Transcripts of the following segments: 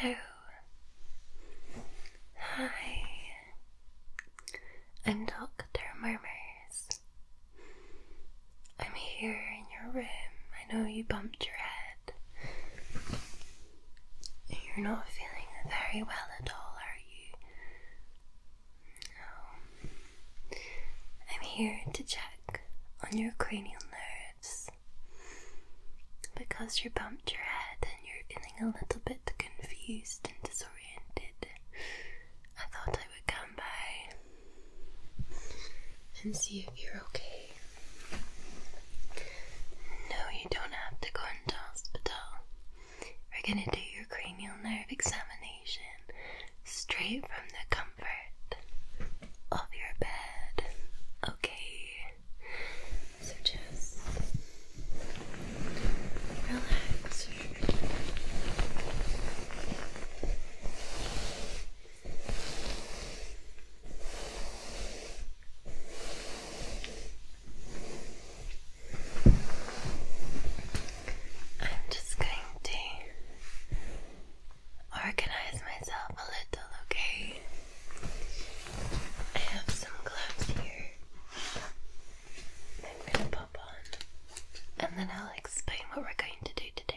Hello. Hi. I'm Dr. Murmurs. I'm here in your room. I know you bumped your head. You're not feeling very well at all, are you? No. I'm here to check on your cranial nerves because you bumped your head and you're feeling a little bit confused and disoriented. I thought I would come by and see if you're okay. No, you don't have to go into hospital. We're gonna do your cranial nerve examination straight from the comfort of your bed. Okay. So just relax. I'm just going to organize myself a little, okay? I have some gloves here. I'm gonna pop on, and then I'll explain what we're going to do today.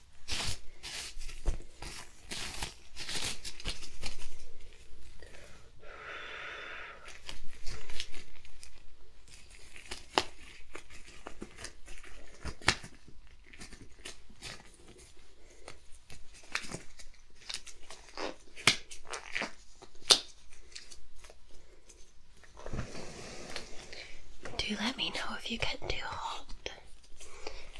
Do let me know if you get too hot.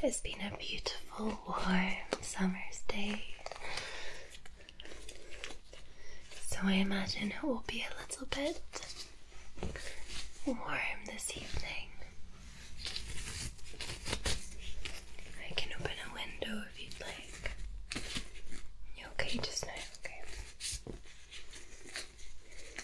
It's been a beautiful, warm summer's day. So I imagine it will be a little bit warm this evening. I can open a window if you'd like. You okay just Okay.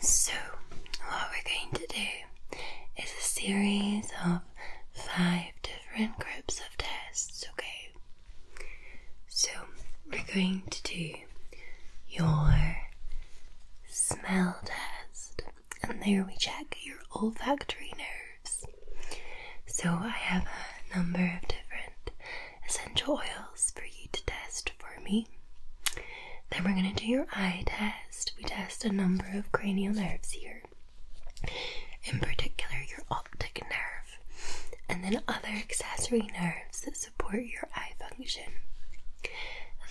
So, what we're going to do is a series of five different groups of tests, okay? So, we're going to do your smell test, and there we check your olfactory nerves. So, I have a number of different essential oils for you to test for me. Then, we're going to do your eye test. We test a number of cranial nerves here, in particular, your optic nerve, and then other accessory nerves that support your eye function.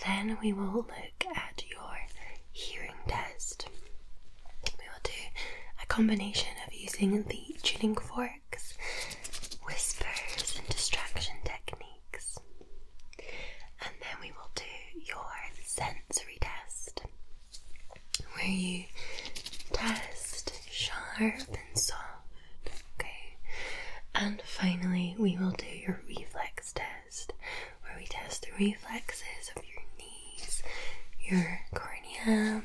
Then we will look at your hearing test we will do a combination of using the tuning forks, whispers, and distraction techniques. And then we will do your sensory test, where you test sharp and soft, okay? And finally, we will do your reflex test, where we test the reflexes of your knee your cornea,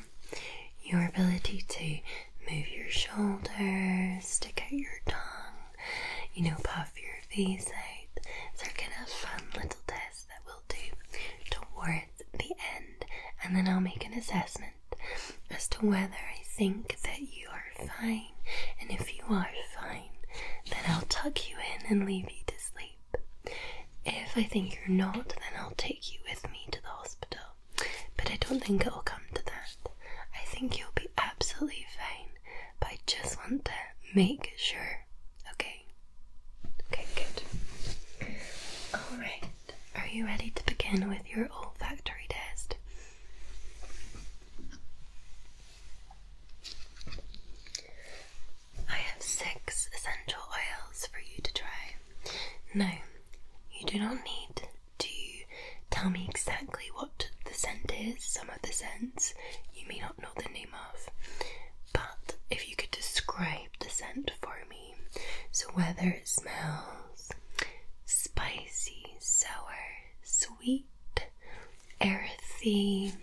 your ability to move your shoulders, stick out your tongue, you know, puff your face out. So we are gonna have fun little tests that we'll do towards the end, and then I'll make an assessment as to whether I think that you are fine. And if you are fine, then I'll tuck you in and leave you to sleep. If I think you're not, then I'll take you with me to the hospital. But I don't think it'll come to that. I think you'll be absolutely fine, but I just want to make sure. Okay? Okay, good. Alright, are you ready to begin with your olfactory test? I have six essential oils for you to try. No, you do not need to tell me exactly what the scent is. Some of the scents you may not know the name of, but if you could describe the scent for me, so whether it smells spicy, sour, sweet, earthy,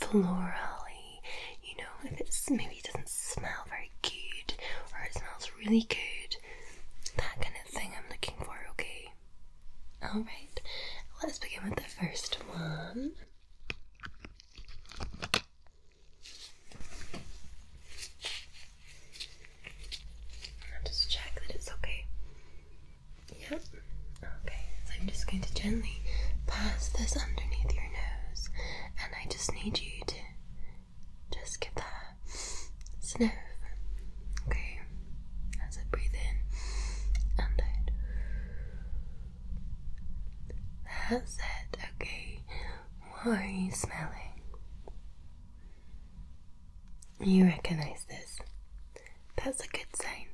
florally. You know, if it's maybe doesn't smell very good or it smells really good, that kind of thing I'm looking for, okay? Alright, let's begin with the first one. just check that it's okay. Yep. Okay, so I'm just going to gently pass this underneath your nose, and I just need you to just give that sniff. Okay, as I breathe in and out. That's it. Okay, what are you smelling? You recognize this. That's a good sign.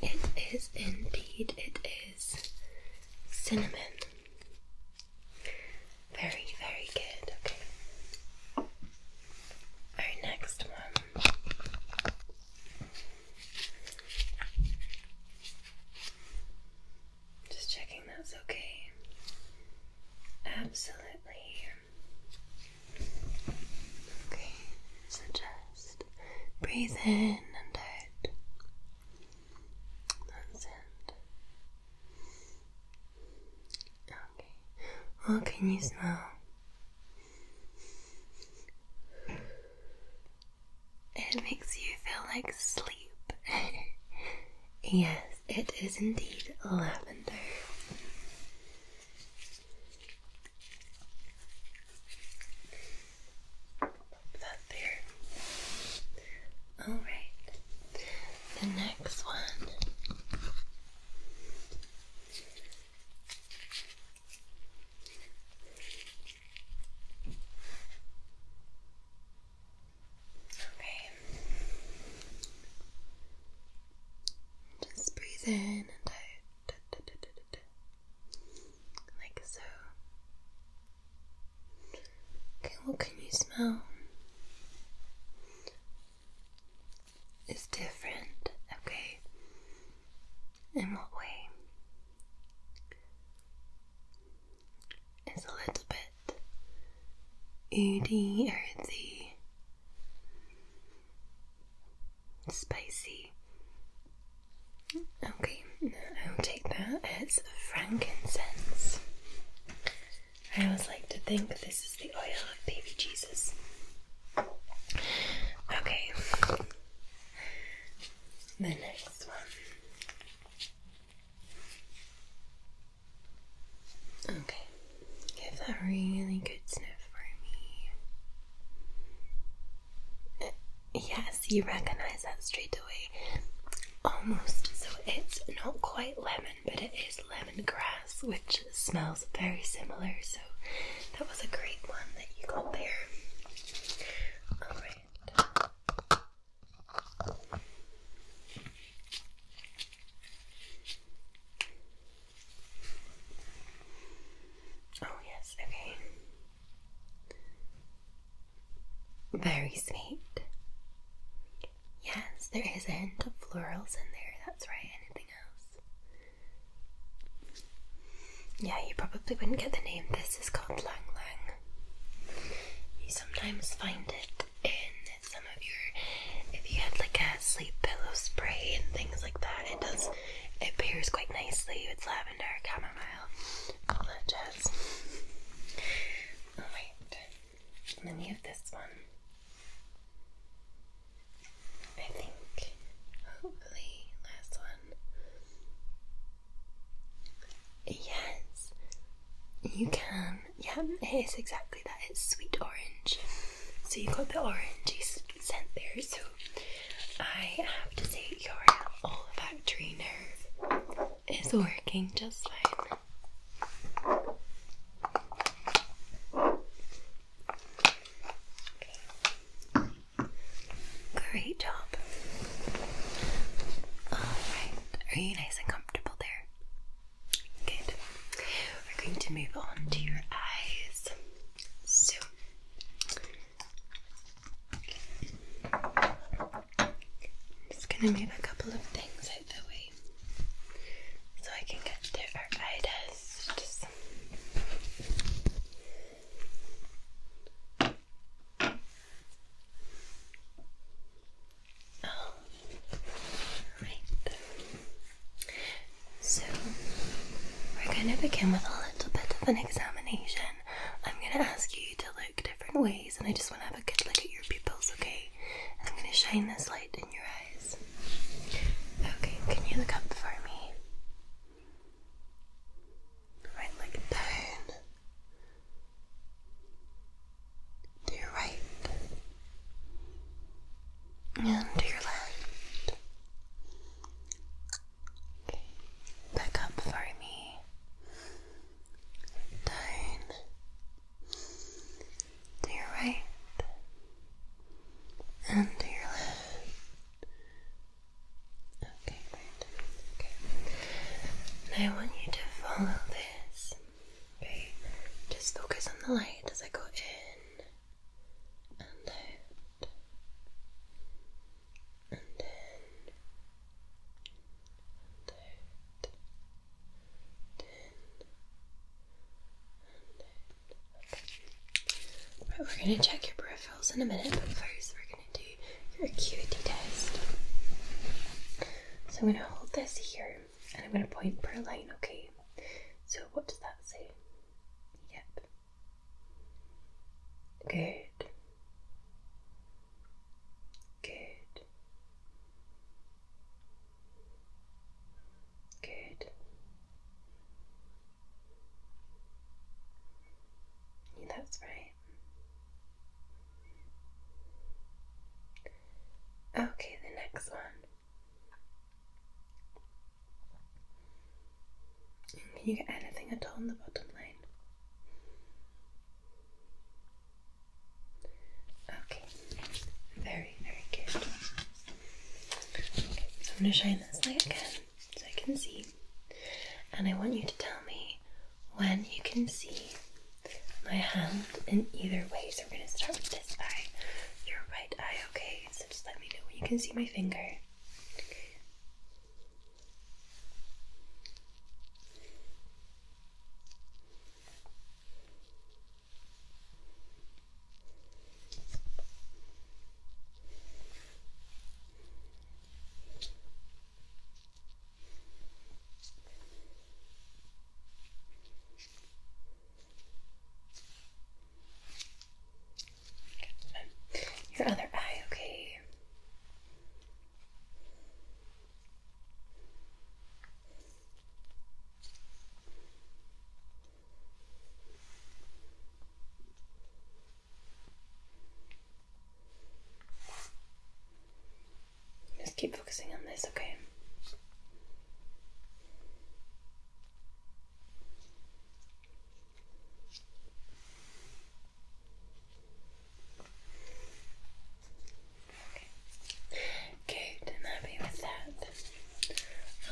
It is indeed, it is cinnamon. Very, very good. Okay. Our next one. Just checking that's okay. Absolutely. Okay, so just breathe in and out. That's it. Okay. What oh, can you smell? It makes you feel like sleep. yes, it is indeed lavender that there. All right. The next one Okay. Just breathe in and out like so. Okay, what can you smell? It's different, okay? In what way? It's a little bit ooty, earthy. Spicy. Okay, I'll take that as frankincense. I always like to think this is the oil of baby Jesus. Okay, the next one. Okay, give that really good sniff for me. Yes, you recognize that straight away. Almost. So it's not quite lemon, but it is lemon grass, which smells very similar. So that was a great one that you got there. Alright. Oh, yes, okay. Very sweet. Yes, there is a hint of florals in there, that's right. Anything else? Yeah, you probably wouldn't get the name. This is called Lang Lang. You sometimes find it in some of your. If you had like a sleep pillow spray and things like that, it does it pairs quite nicely with lavender, chamomile, all that jazz. Alright, and then we have this one. I think, hopefully, last one. Yes, you can. Yeah, it is exactly that. It's sweet orange. So you have got the orangey scent there. So I have to say, your olfactory nerve is working just fine. Great job. Alright, are you nice and comfortable there? Good. We're going to move on to your eyes. So, I'm just gonna move a couple of things out the way so I can get to our eye Oh, right. So, we're going to begin with a little bit of an examination. I'm going to ask you to look different ways, and I just want to have a good look at your pupils, okay? I'm going to shine this light in your eyes. Okay, can you look up for me? Right, look down. To your right and to your left. Back up for me. Down. To your right. And to your left. Okay, great. Okay. I want you to follow this. Okay. Just focus on the light as I go in and out, we're going to check your peripherals in a minute, but first we're going to do your acuity test. So I'm going to hold this here and I'm going to point per line, okay? So what does that say? Yep. Good. Good. Good. that's right. Okay, the next one. Can you get anything at all in the bottom line? Okay, very, very good. Okay, so I'm going to shine this light again so I can see. And I want you to tell me when you can see my hand in either way. So we're going to start with this eye, your right eye, okay? so just let me know when you can see my finger. Your other eye, okay. Just keep focusing on this, okay? Good, I'm happy with that.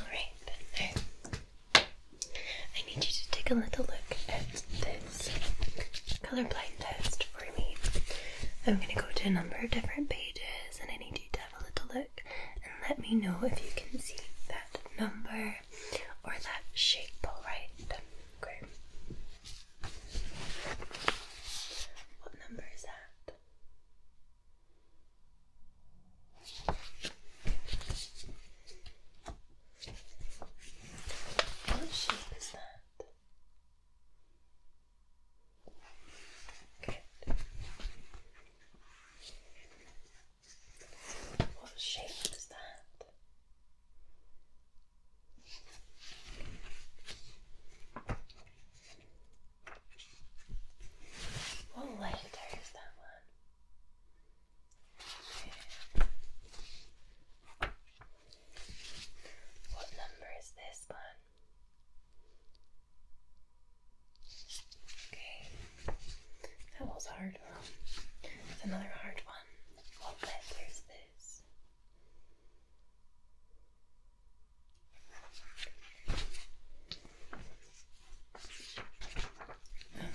Alright, I need you to take a little look at this colorblind test for me. I'm going to go to a number of different pages and I need you to have a little look and let me know if you can see that number or that shape, alright? Okay. What number is that? What shape is that? Good. What shape is that? What letter is that one? What number is this one? Okay, that was hard It's another hard one. What letter is this? Um,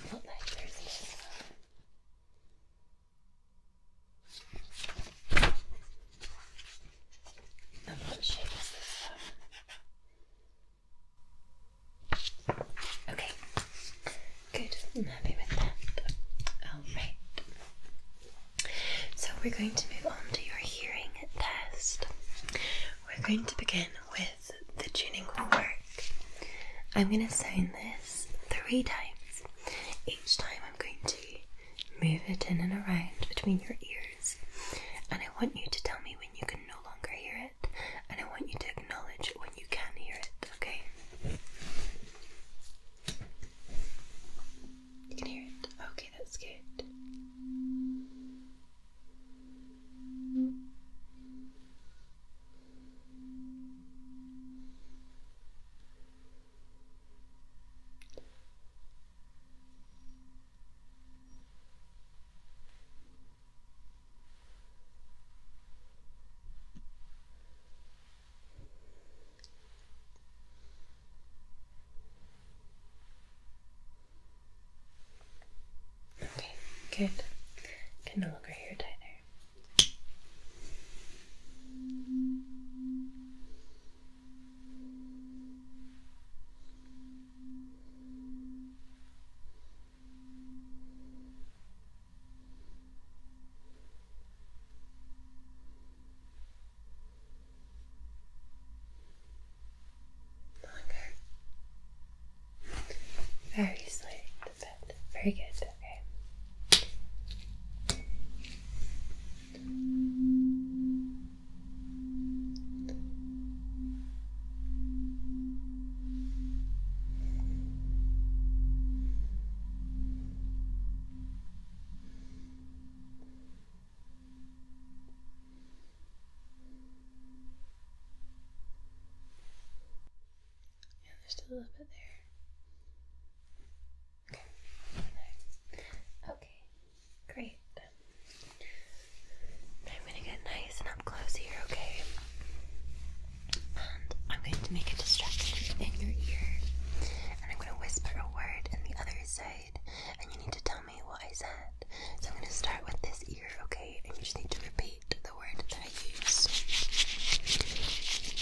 what shape is this Okay, good. I'm happy with that. Alright. So we're going to move on to your hearing test. We're going to begin with the tuning fork. I'm going to sound this three times. Each time I'm going to move it in and around between your ears, and I want you to tell me when you can no longer hear it, and I want you to acknowledge when you can hear it, okay? You can hear it. Okay, that's good. Okay, good. Can no longer hear it either. Longer. Very slight bit. Very good. Okay. Yeah, there's still a little bit there. Okay. Okay. Great. I'm going to get nice and up close here, okay? And I'm going to make a distraction in your ear. And I'm going to whisper a word in the other side. And you need to tell me what I said. So I'm going to start with this ear, okay? And you just need to repeat the word that I use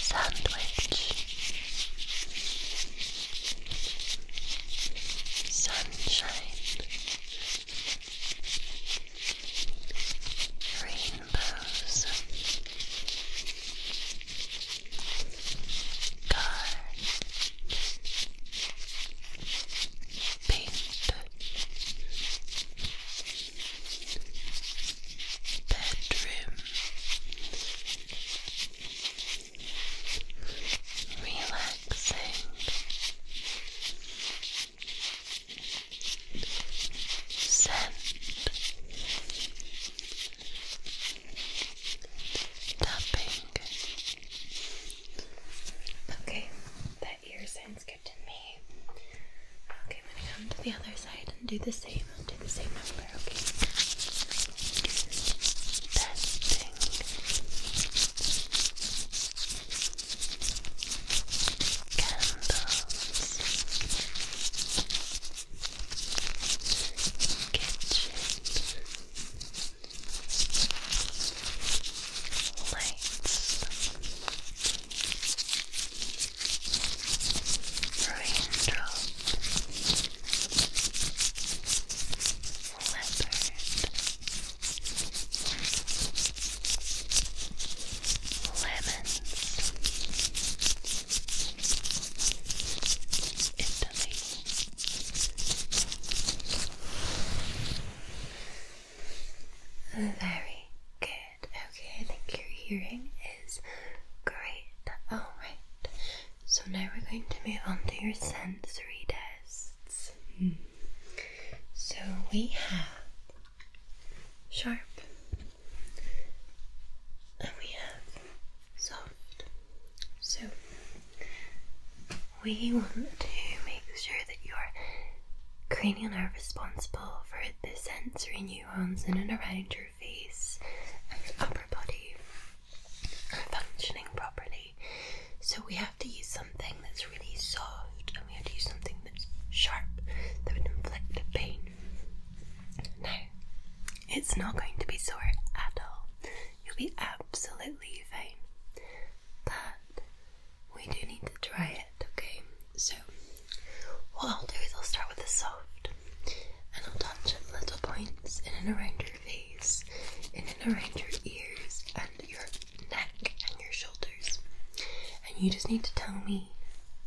sandwich, sunshine rainbows, cars, paint, bedroom, relaxing, scent, tapping. Okay, that ear sounds good me. Okay, gonna come to the other side and do the same. do the same number, okay? Testing amazing. Candles. Kitchen. Lights. Raindrop leopard, Very good. Okay, I think your hearing is great. Alright. Oh, so now we're going to move on to your sensory tests. Hmm. So we have sharp and we have soft. So we want to make sure that your cranial nerve responsible for the sensory neurons in and around your face and your upper body functioning properly. So we have to use something that's really soft and we have to use something that's sharp that would inflict a pain. Now, it's not going to be sore at all. You'll be absolutely fine. But we do need to try it, okay? So, what I'll do is I'll start with the soft and I'll touch at little points in and around your your face and around your ears and your neck and your shoulders. And you just need to tell me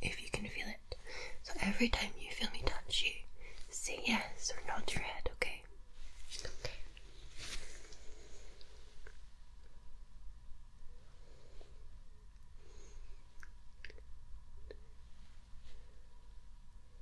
if you can feel it. So every time you feel me touch you, say yes or nod your head, Okay.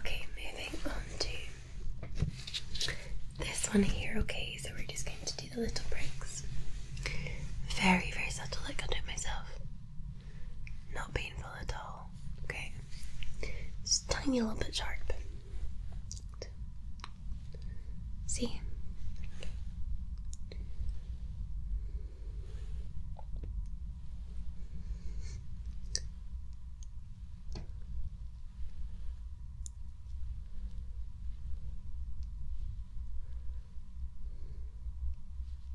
Okay, moving on to this one here. Okay, so we're just going to do the little bricks. Very, very subtle, like I do it myself. Not painful at all. Okay. It's tiny a little bit sharp. See?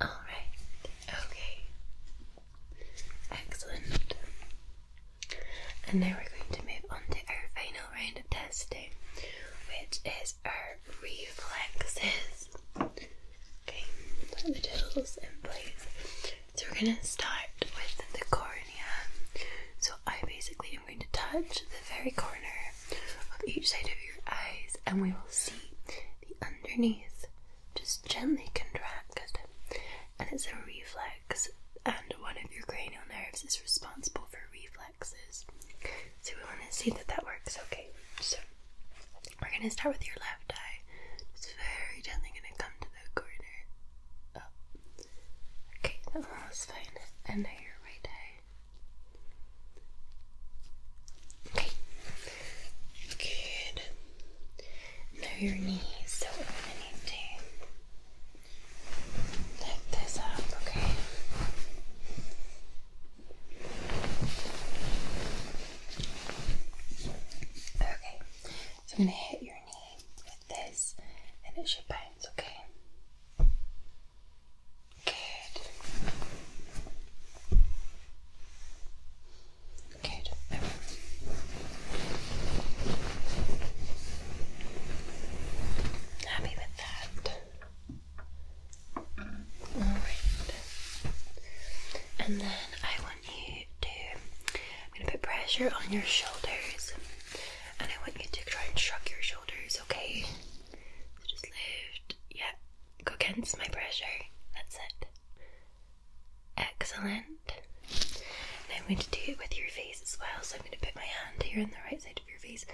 All right. Okay. Excellent. And now we're going to move on to our final round of testing, which is our reflexes. Okay, let me just in place. So we're going to start with the cornea. So I basically am going to touch the very corner of each side of your eyes and we will see the underneath just gently contract. And it's a reflex and one of your cranial nerves is responsible for reflexes. So we want to see that that works okay. So we're gonna start with your left eye. Just very gently gonna come to the corner. Up. Oh. Okay, that was fine. And your right eye. Okay. Good. Now your knees. So we're gonna need to lift this up, okay? Okay, so I'm going to hit your knee with this and it should bounce, okay? Good. Good. Happy with that. Alright. And then I want you to, I'm going to put pressure on your shoulders and I want you to try and shrug your shoulders, okay? So just lift, yeah, go against my pressure, that's it. Excellent. I'm going to do it with your face as well, so I'm going to put my hand here on the right side of your face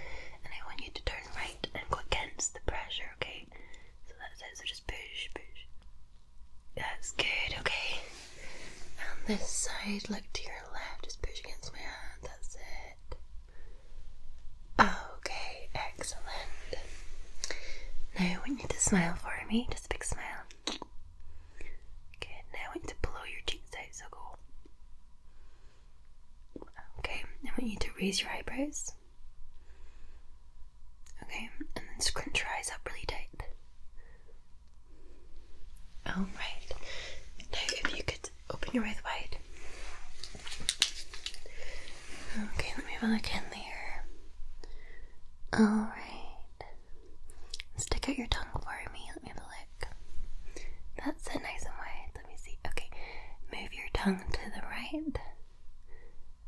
and I want you to turn right and go against the pressure, okay? So that's it, so just push, push. That's good, okay. On um, this side, look to your left, just push against my hand, that's it. Okay, excellent. Now I want you to smile for me, just a big smile. Okay. now I want you to blow your cheeks out, so cool. Okay, I want you to raise your eyebrows. Okay, and then scrunch your eyes up really tight. Alright, now if you could open your eyes wide. Okay, let me have a look in there. Alright, stick out your tongue for me. Let me have a lick. That's it, nice and wide. Let me see. Okay, move your tongue to the right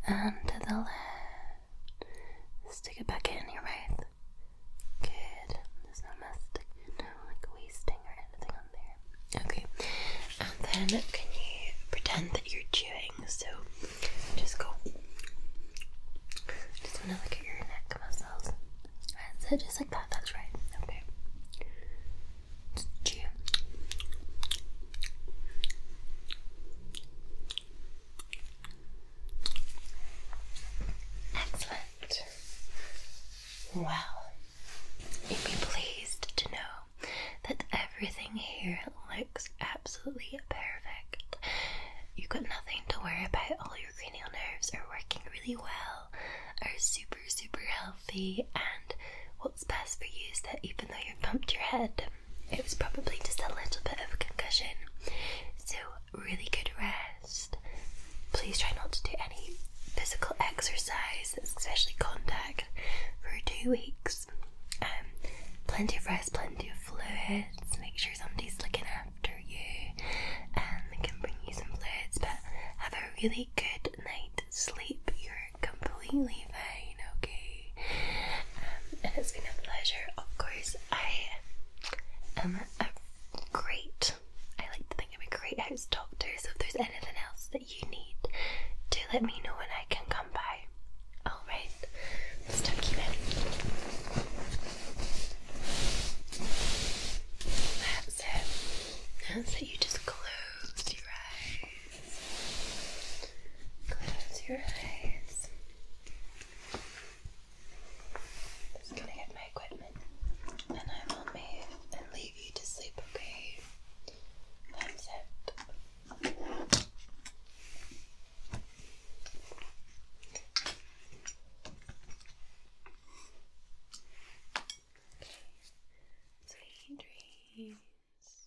and to the left. Stick it back in your mouth. Good. There's no mastic, no like wasting or anything on there. Okay. And then can you pretend that you're chewing? So just go. Just wanna look at your neck muscles. so just like that. That's right. Okay. chew. Excellent. Well, you'd be pleased to know that everything here looks absolutely perfect. You've got nothing to worry about, all your cranial nerves are working really well, are super, super healthy, and what's best for you is that even though you've bumped your head, it was probably just a little bit of a concussion. So, really good rest. Please try not to do any physical exercise, especially contact, for two weeks. Um, plenty of rest, plenty of fluids. Make sure somebody's looking after you and they can bring you some fluids. But have a really good night's sleep. you completely fine, okay? Um, and it's been a pleasure. Of course, I am a great, I like to think I'm a great house doctor, so if there's anything else that you need, do let me know and I can come by. Alright, let's tuck you in. That's it. That's it. You just close your eyes. Close your eyes. just gonna get my equipment and I will move and leave you to sleep, okay? Thumbs up. Sweet dreams.